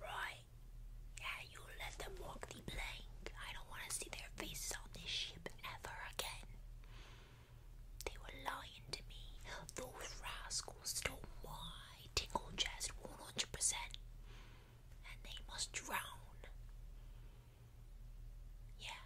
Right. Yeah, you let them walk the plank. I don't want to see their faces on this ship ever again. They were lying to me. Those rascals stole my tingle chest 100%. And they must drown. Yeah,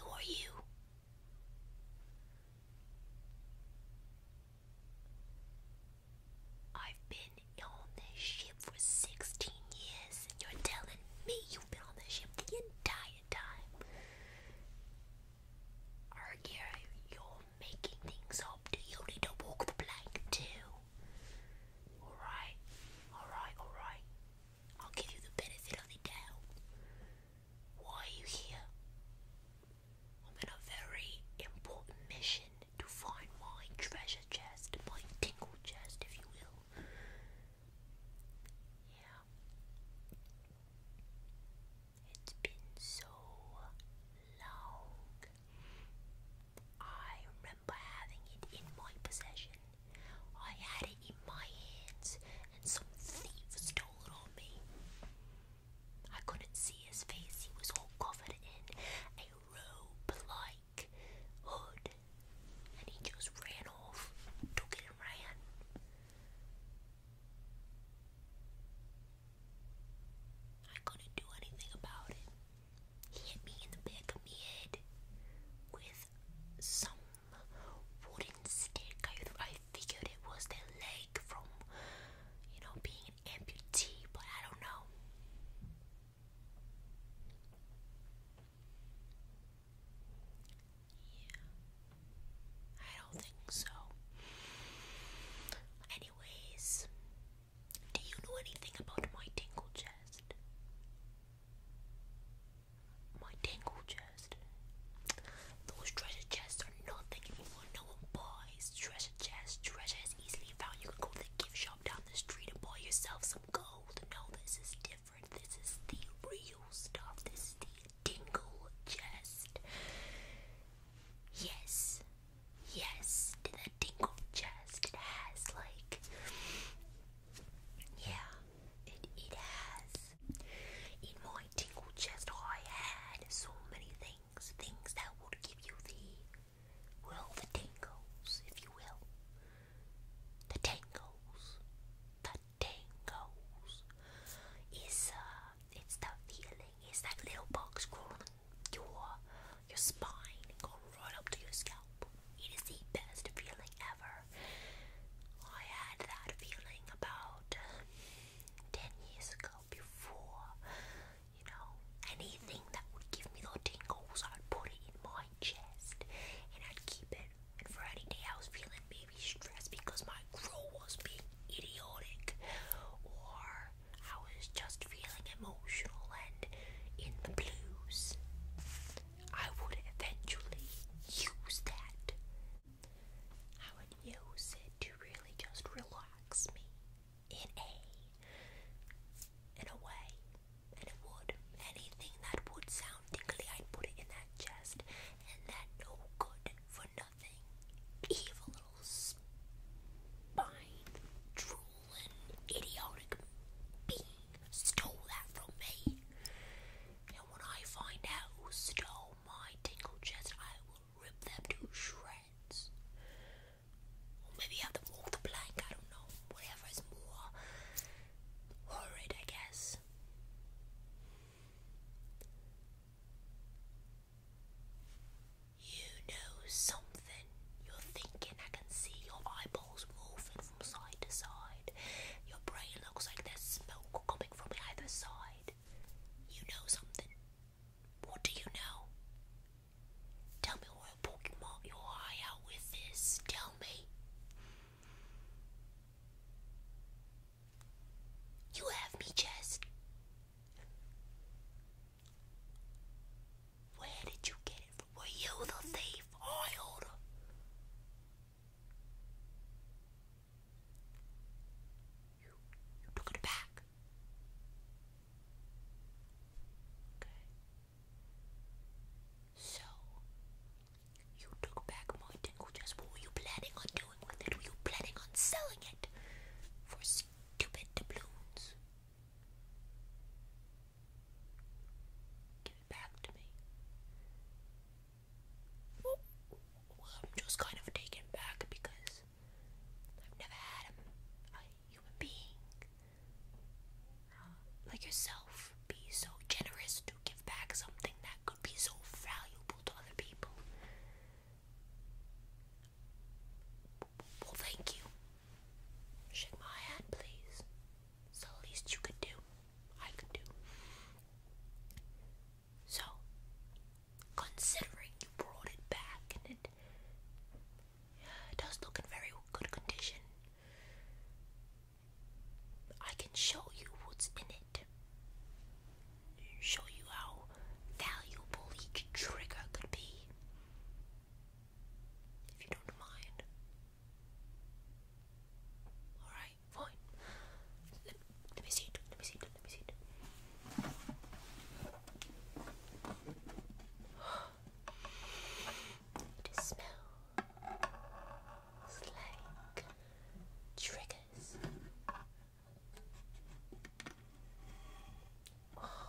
Who are you? I've been on this ship for 16 years, and you're telling me you've been on the ship the entire time. Argyro, you're making things up. Do you need to walk the plank too? Alright, alright, alright. I'll give you the benefit of the doubt. Why are you here? I'm on a very important mission to find my treasure chest, my tingle chest, if you will. Yeah. It's been so long. I remember having it in my possession. I had it in my hands, and some thief stole it on me. I couldn't see his face, he was all covered in a robe like hood, and he just ran off, took it and ran. I couldn't do anything about it. He hit me in the back of my head with some wooden stick figured it was their leg from, you know, being an amputee, but I don't know. Yeah. I don't think so. Anyways, do you know anything about my tingle chest? My tingle chest. Those treasure chests are nothing anymore. No one buys treasure chests. Treasure is easily found. You can go to the gift shop down the street and buy yourself some gold. No, this is different. This is the real stuff. This is the dingle chest. Yes. Yes. The dingle chest. It has like Yeah. It it has in my tingle chest I had so many things things, that would give you the, well, the tingles, if you will. The tingles, the tingles. Is uh, it's the feeling. It's that little box crawling your your spine, going right up to your scalp. It is the best feeling ever. I had that feeling about ten years ago before, you know, anything that would give me the tingles, I'd put it in my chest and I'd keep it. And for any day I was feeling maybe stressed because my grow was being idiotic or I was just feeling emotional and in the blues, I would eventually use that I would use it to really just relax me in a in a way. And it would. Anything that would sound tingly, I'd put it in that chest. And that no good for nothing. Evil spine drooling idiotic being stole that from me. And when I find out who stole my tingle chest, I will rip them to shreds. Or maybe have them walk the plank, I don't know. Whatever is more horrid, I guess. You know something. You're thinking, I can see your eyeballs moving from side to side. Your brain looks like there's smoke coming from either side. You know something. What do you know? Tell me what Pokemon you're out with this. Tell me. You have me, Jess. Where did you get it from? Were you the thief? I order. You, took it back. Okay. So, you took back my tingle dress. What were you planning on doing with it? Were you planning on selling it for stupid doubloons? Give it back to me. I'm just kind of taken back because I've never had a, human being uh, like yourself be so generous to give back something that could be so valuable to other people. Well, thank you. Shake my hand, please. It's the least you could do. I could do. So, considering you brought it back and it uh, does look in very good condition, I can show you what's in it. Show you how valuable each trigger could be. If you don't mind. Alright, fine. Let me see it. Let me see it. Let me see it. It smells like triggers. Wow.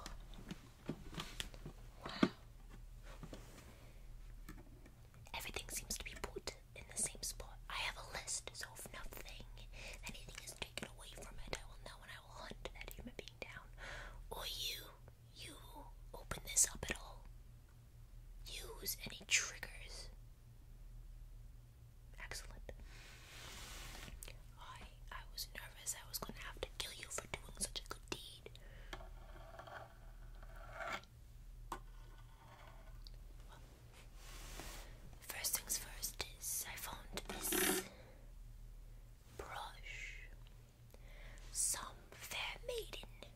Everything seems to be put in the same spot. I have a list, so nothing, anything is taken away from it, I will know and I will hunt that human being down. Or you, you open this up at all. Use any triggers. Excellent. I I was nervous I was gonna have to kill you for doing such a good deed. First things first is I found this brush. Some fair maiden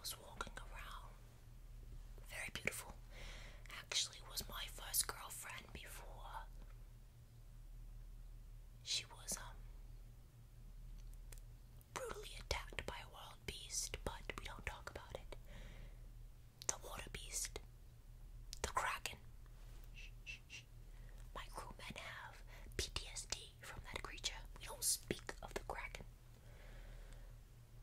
was walking around. Very beautiful. Actually was my first girlfriend before she was um, brutally attacked by a wild beast, but we don't talk about it the water beast, the kraken. My crewmen have PTSD from that creature. We don't speak of the kraken.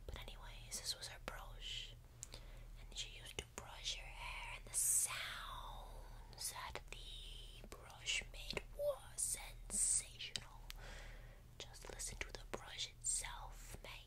But anyways, this was her brush, and she used to brush her hair, and the sounds that the brush made was sensational. Just listen to the brush itself, man.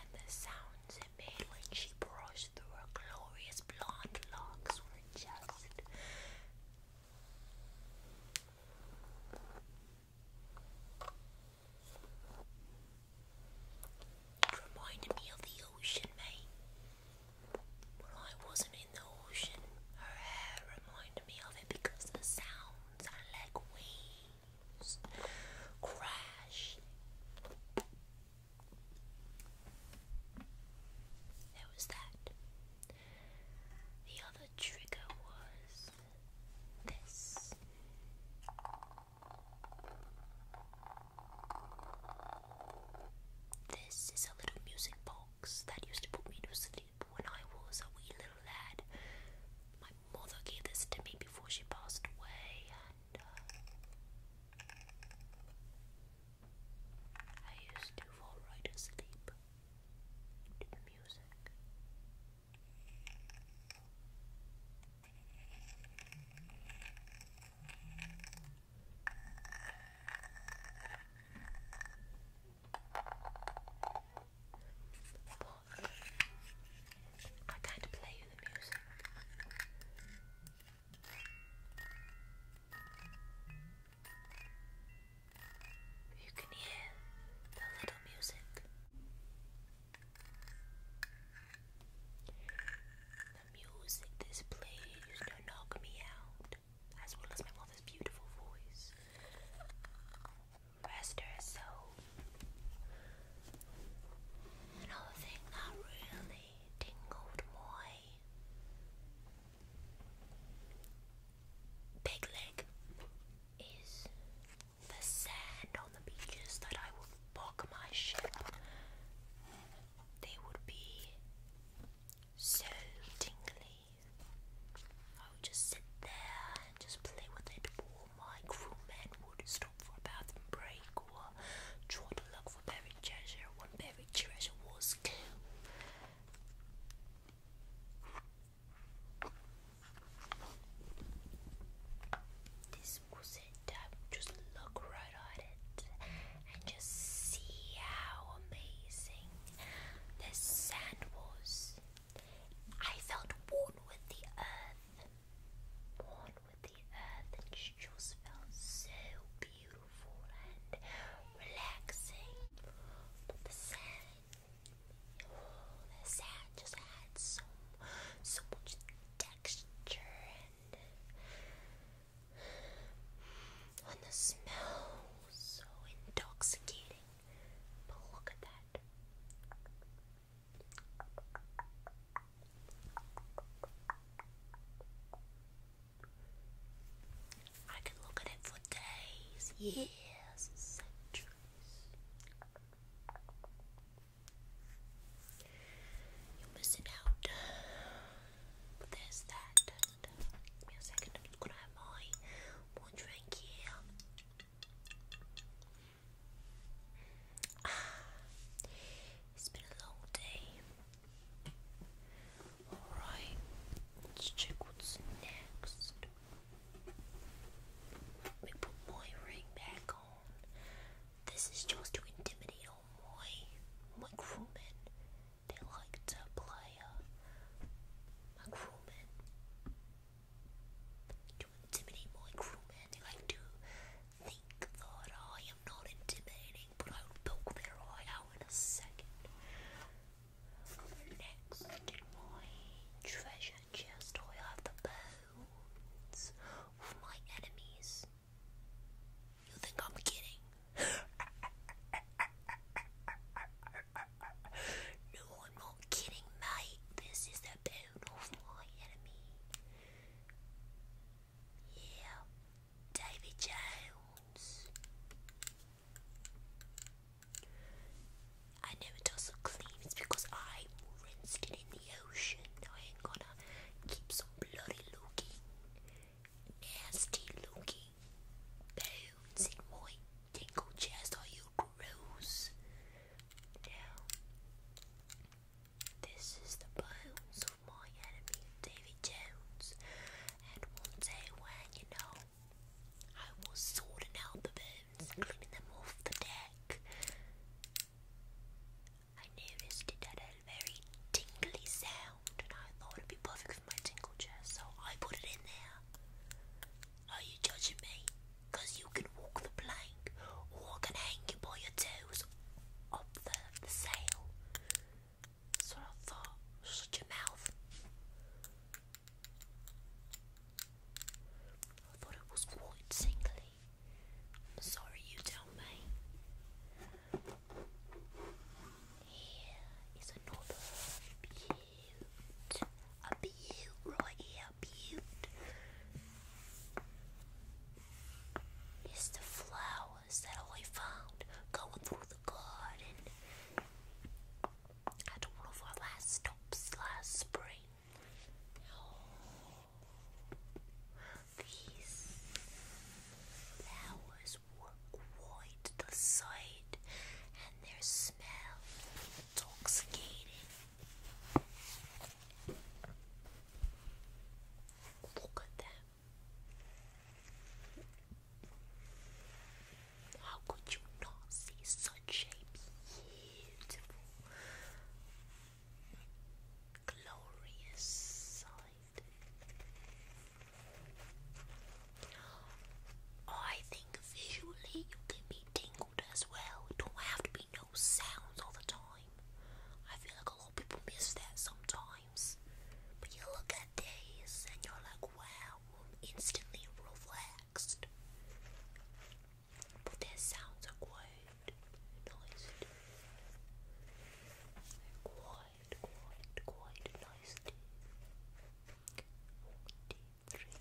And the sounds it made when she brushed through her glorious blonde locks were just. It reminded me of the ocean, mate. When I wasn't in the ocean, her hair reminded me of it because the sounds are like waves crash. There was that. The other trigger was this. This is a little music box that used to put me to sleep when I was a wee little lad. My mother gave this to me before she passed away, and uh, I used to fall right asleep to the music. I can't play with the music. You can hear the little music music this plays used to knock me out, as well as my mother's beautiful voice. Rest her soul. Another thing that really tingled my big leg is the sand the beaches that I would book my ship, they would be so tingly. I would just sit there and just play with it, or my crewmen would stop for a bathroom break or try to look for buried treasure when buried treasure was killed. This just look right at it and just see how amazing this sand was. I felt one with the earth, one with the earth, and just felt so beautiful and relaxing. But the sand, oh, the sand just had so, so much texture and the smell so intoxicating. But look at that. I could look at it for days, years, centuries. You're missing out. There's that. Give me a second. I'm gonna have my more drink here. Ah, it's been a long day. Alright, let's check what's next. Let me put my ring back on. This is just to intimidate my my crewmen they like to play uh, my crewmen to intimidate my crewmen they like to think that I am not intimidating but I will poke their eye out in a second next my treasure chest I have the bones of my enemies you think I'm kidding? no, i kidding, mate. This is the bone of my enemy. Yeah, David Jones. I know it doesn't because I rinsed in the ocean. I ain't gonna keep some bloody looking, nasty looking bones in my tingle chest. Are you gross? Now, this is the bones of my enemy, David Jones. And one day when, you know, I will sorting out the bones, cleaning them off the deck. I noticed it had a very tingly sound, and I thought it'd be perfect for my tingle chair, so I put it in there. Are you judging me? Because you can walk the plank, or I can hang you by your toes up the, the sail. So I thought, shut your mouth. I thought it was quite tingly. I'm sorry you tell me. Here is another beaut. A beaut right here, a beaut. the flowers that I found going through the garden. At one of our last stops last spring. Oh, these flowers were quite the sight, and their smell intoxicating. Look at them. How could you not see such a beautiful glorious sight. I think visually you can be tingled as well. don't have to be no sounds all the time. I feel like a lot of people miss that sometimes. But you look at these and you're like, wow, instantly relaxed. But their sounds are Quite, quite, quite nice Quite, quite,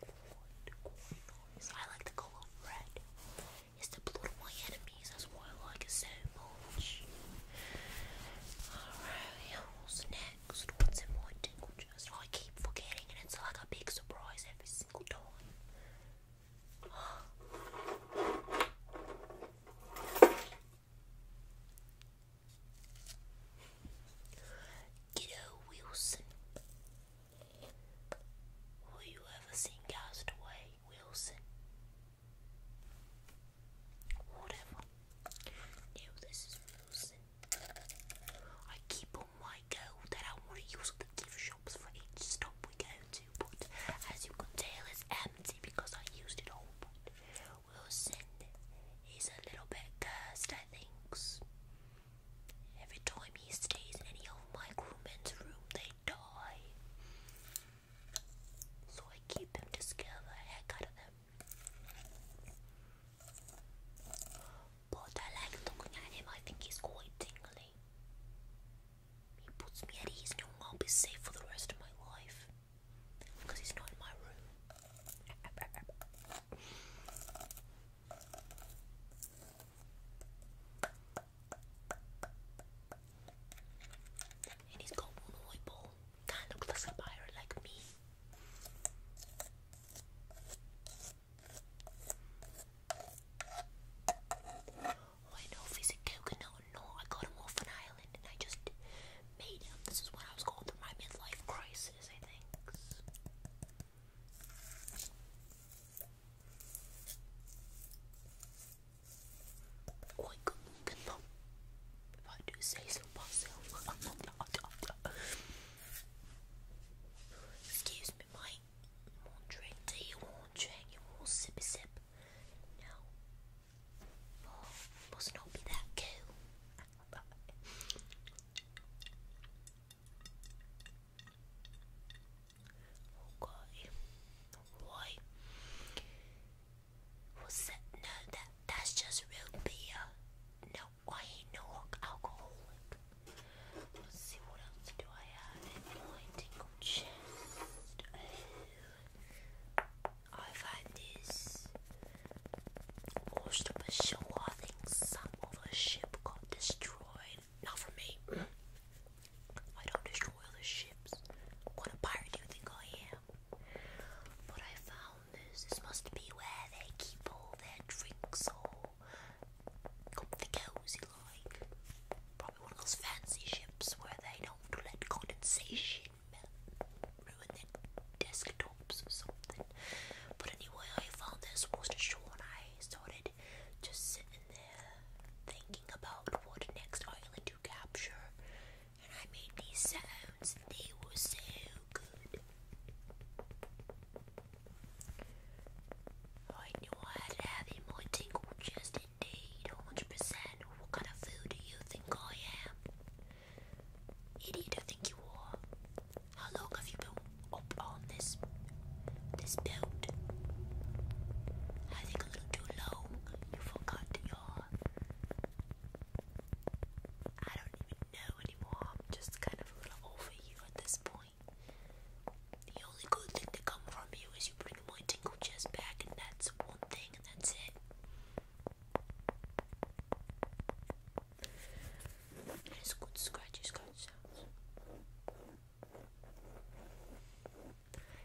quite nice. I like the color red. It's the blood of my enemies. That's why I like it so much. Alright, what's next? What's in I keep forgetting and it's like a big surprise every single time. Kiddo Wilson. Will you ever seen Castaway Wilson? Whatever. No, this is Wilson. I keep on my go that I want to use at the gift shops for each stop we go to, but as you can tell, it's empty because I used it all. But we a little bit cursed, I think. Every time he stays in any of my crewmen's room, they die. So I keep them to scare the heck out of them. But I like looking at him, I think he's quite tingly. He puts me at ease, knowing I'll be safe for the rest of my life. Because he's not in my room. And he's got one eyeball. Kind of looks like a pirate like me. Oh, I know if he's a coconut no, I got him off an island and I just made him. This is when I was going through my midlife crisis, I think. Oh, good looking If I do say so myself. Excuse me, Mike. You want drink? Do you want drink? You want sippy sip? No. Oh, must not be that cool. okay. Alright. What's that? No, that that's just real beer. No or a knock alcoholic. Let's see what else do I have in my tingle chest. Oh. I find this washed up a show. I think some other ship got destroyed. Not for me. I don't destroy other ships. What a pirate do you think I am? But I found this. This must be where they keep all their drinks or comfy cozy like. Probably one of those fancy ships where they don't let condensation ruin their desktops or something. But anyway, I found this was Worcester Shore and I started just sitting there thinking about what next island to capture. And I made these sounds, they were so good. I knew I had to have in my tingle chest indeed, 100%. What kind of fool do you think I am? Idiot, think you are. How long have you been up on this, this build? I think a little too long. You forgot your... I don't even know anymore. I'm just kind of a little over you at this point. The only good thing to come from you is you bring my tingle chest back, and that's one thing, and that's it. And it's good scratchy scratch sounds.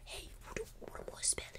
Hey, what, do, spelling?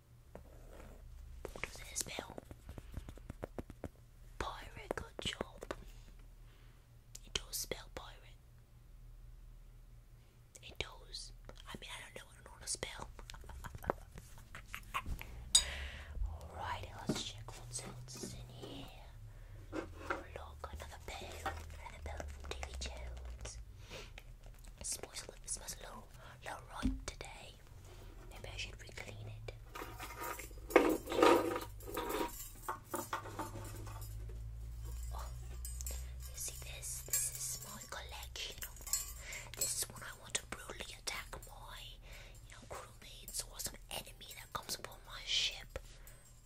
What does this spell? Pirate, good job. It does spell pirate. It does. I mean, I don't know what an to spell. Alright, let's check what else is in here. Look, another bell. Another bell from Daily Jones. It smells a little, it smells don't right today. Maybe I should re-clean it. Oh, you see this? This is my collection This is when I want to brutally attack my, you know, crewmates or some enemy that comes upon my ship.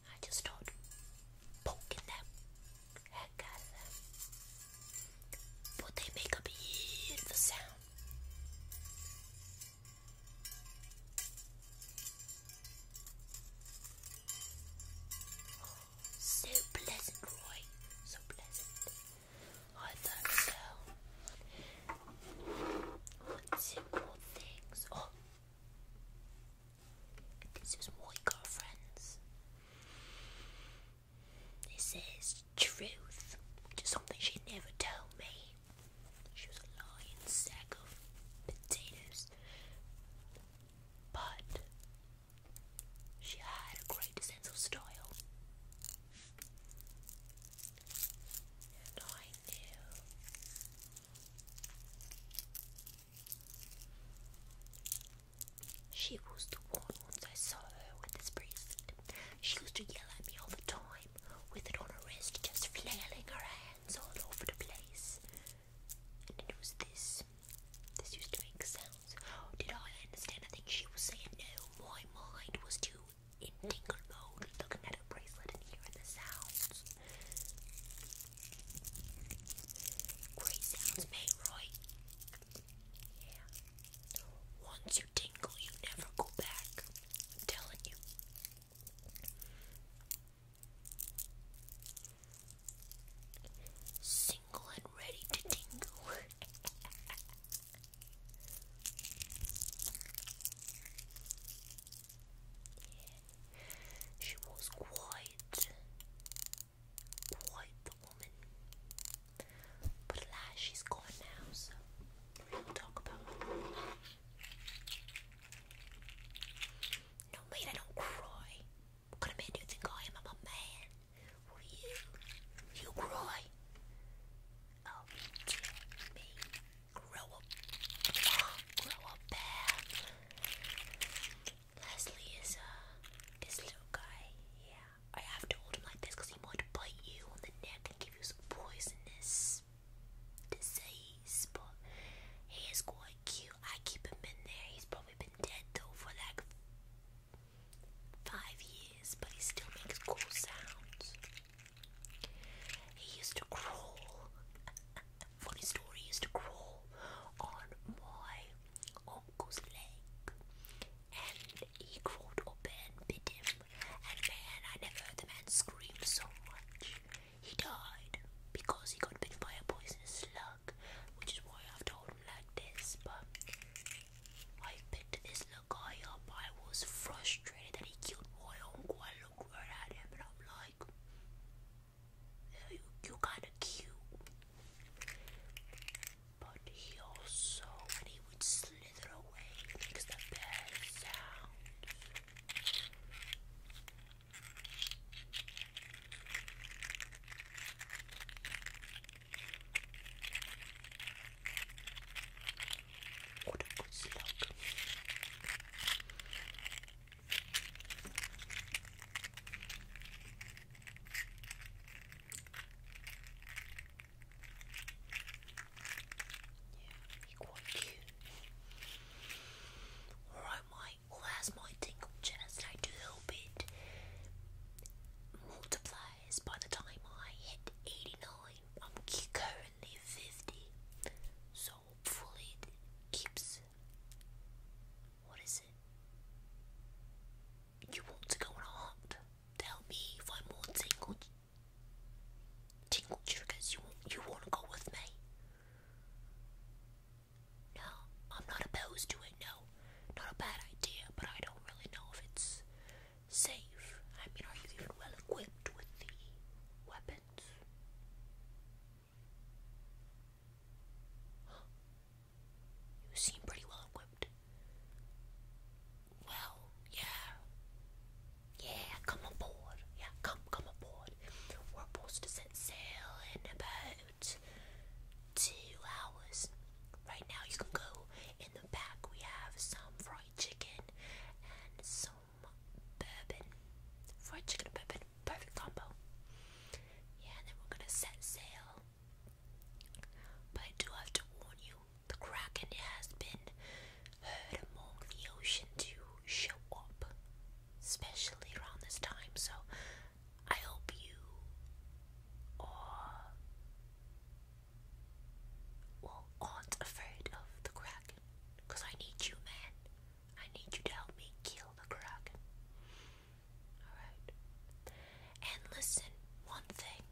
I just start poking them, at casa. But they make a beautiful sound. So pleasant, Roy. So pleasant. I thought so. Two more things. Oh, this is my girlfriend's. This is truth, which something she never told me. She was a lying sack of potatoes. But she had a great sense of style. And I knew she was the one once I saw her with this bracelet. She used to yell at me all the time, with it on her wrist, just flailing her hands all over the place. And it was this. This used to make sounds. Did I understand? anything she was saying no. My mind was too in tingle mode, looking at a bracelet and hearing the sounds. Great sounds made, once you tingle, you never go back. I'm telling you. Single and ready to tingle. yeah. She was quiet quite the woman. But alas, she's gone now, so we'll talk about No, mate, I don't cry. What kind man do think I am? I'm a man. you? You cry. Oh, dear me. Grow up. Grow up, bear. Leslie is, a uh, this little guy. Yeah, I have to hold him like this because he might bite you on the neck and give you some poisonous disease. But he is quite cute. I keep him in there. He's probably been dead though for like five years, but he still makes cool sounds. He used to crawl. Funny story, he used to crawl on my uncle's leg and he crawled up and bit him. And man, I never heard the man scream so much. He died because he got bitten by a poisonous slug, which is why I've told him like this. But I picked this little guy up. I was frustrated that he killed my uncle. I looked and I'm like, you, kind of cute. But he also, when he would slither away, makes the best sound. What a good slug you're quite cute. Alright, Mike, well, my tingle chest. I do hope multiplies by the time I hit 89. I'm currently 50, so hopefully it keeps. What is it? You want to go on a hunt? Tell me if I'm more tingled. Tingle triggers. You want, you want to go with me? No, I'm not opposed to it. No, not a bad idea, but I don't really know if it's safe. I mean, are you even well equipped with the weapons? You seem pretty well equipped. Well, yeah. Yeah, come aboard. Yeah, come, come aboard. We're supposed to set sail in about two hours. Right now, you can go in the back. We have some fried chicken and some bourbon. Fried chicken and bourbon, perfect combo. Yeah, then we're gonna set sail but I do have to warn you, the Kraken has been heard among the ocean to show up, especially around this time. So I hope you are well aren't afraid of the Kraken, cause I need you, man. I need you to help me kill the Kraken. Alright. And listen, one thing.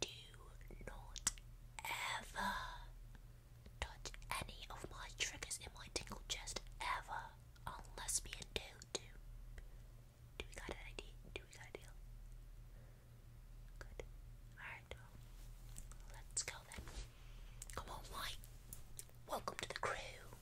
Do not ever touch any of my triggers in my tingle chest ever unless me do. Do we got an idea? Do we got a deal? Good. Alright. Let's go then. Come on, White. Welcome to the crew.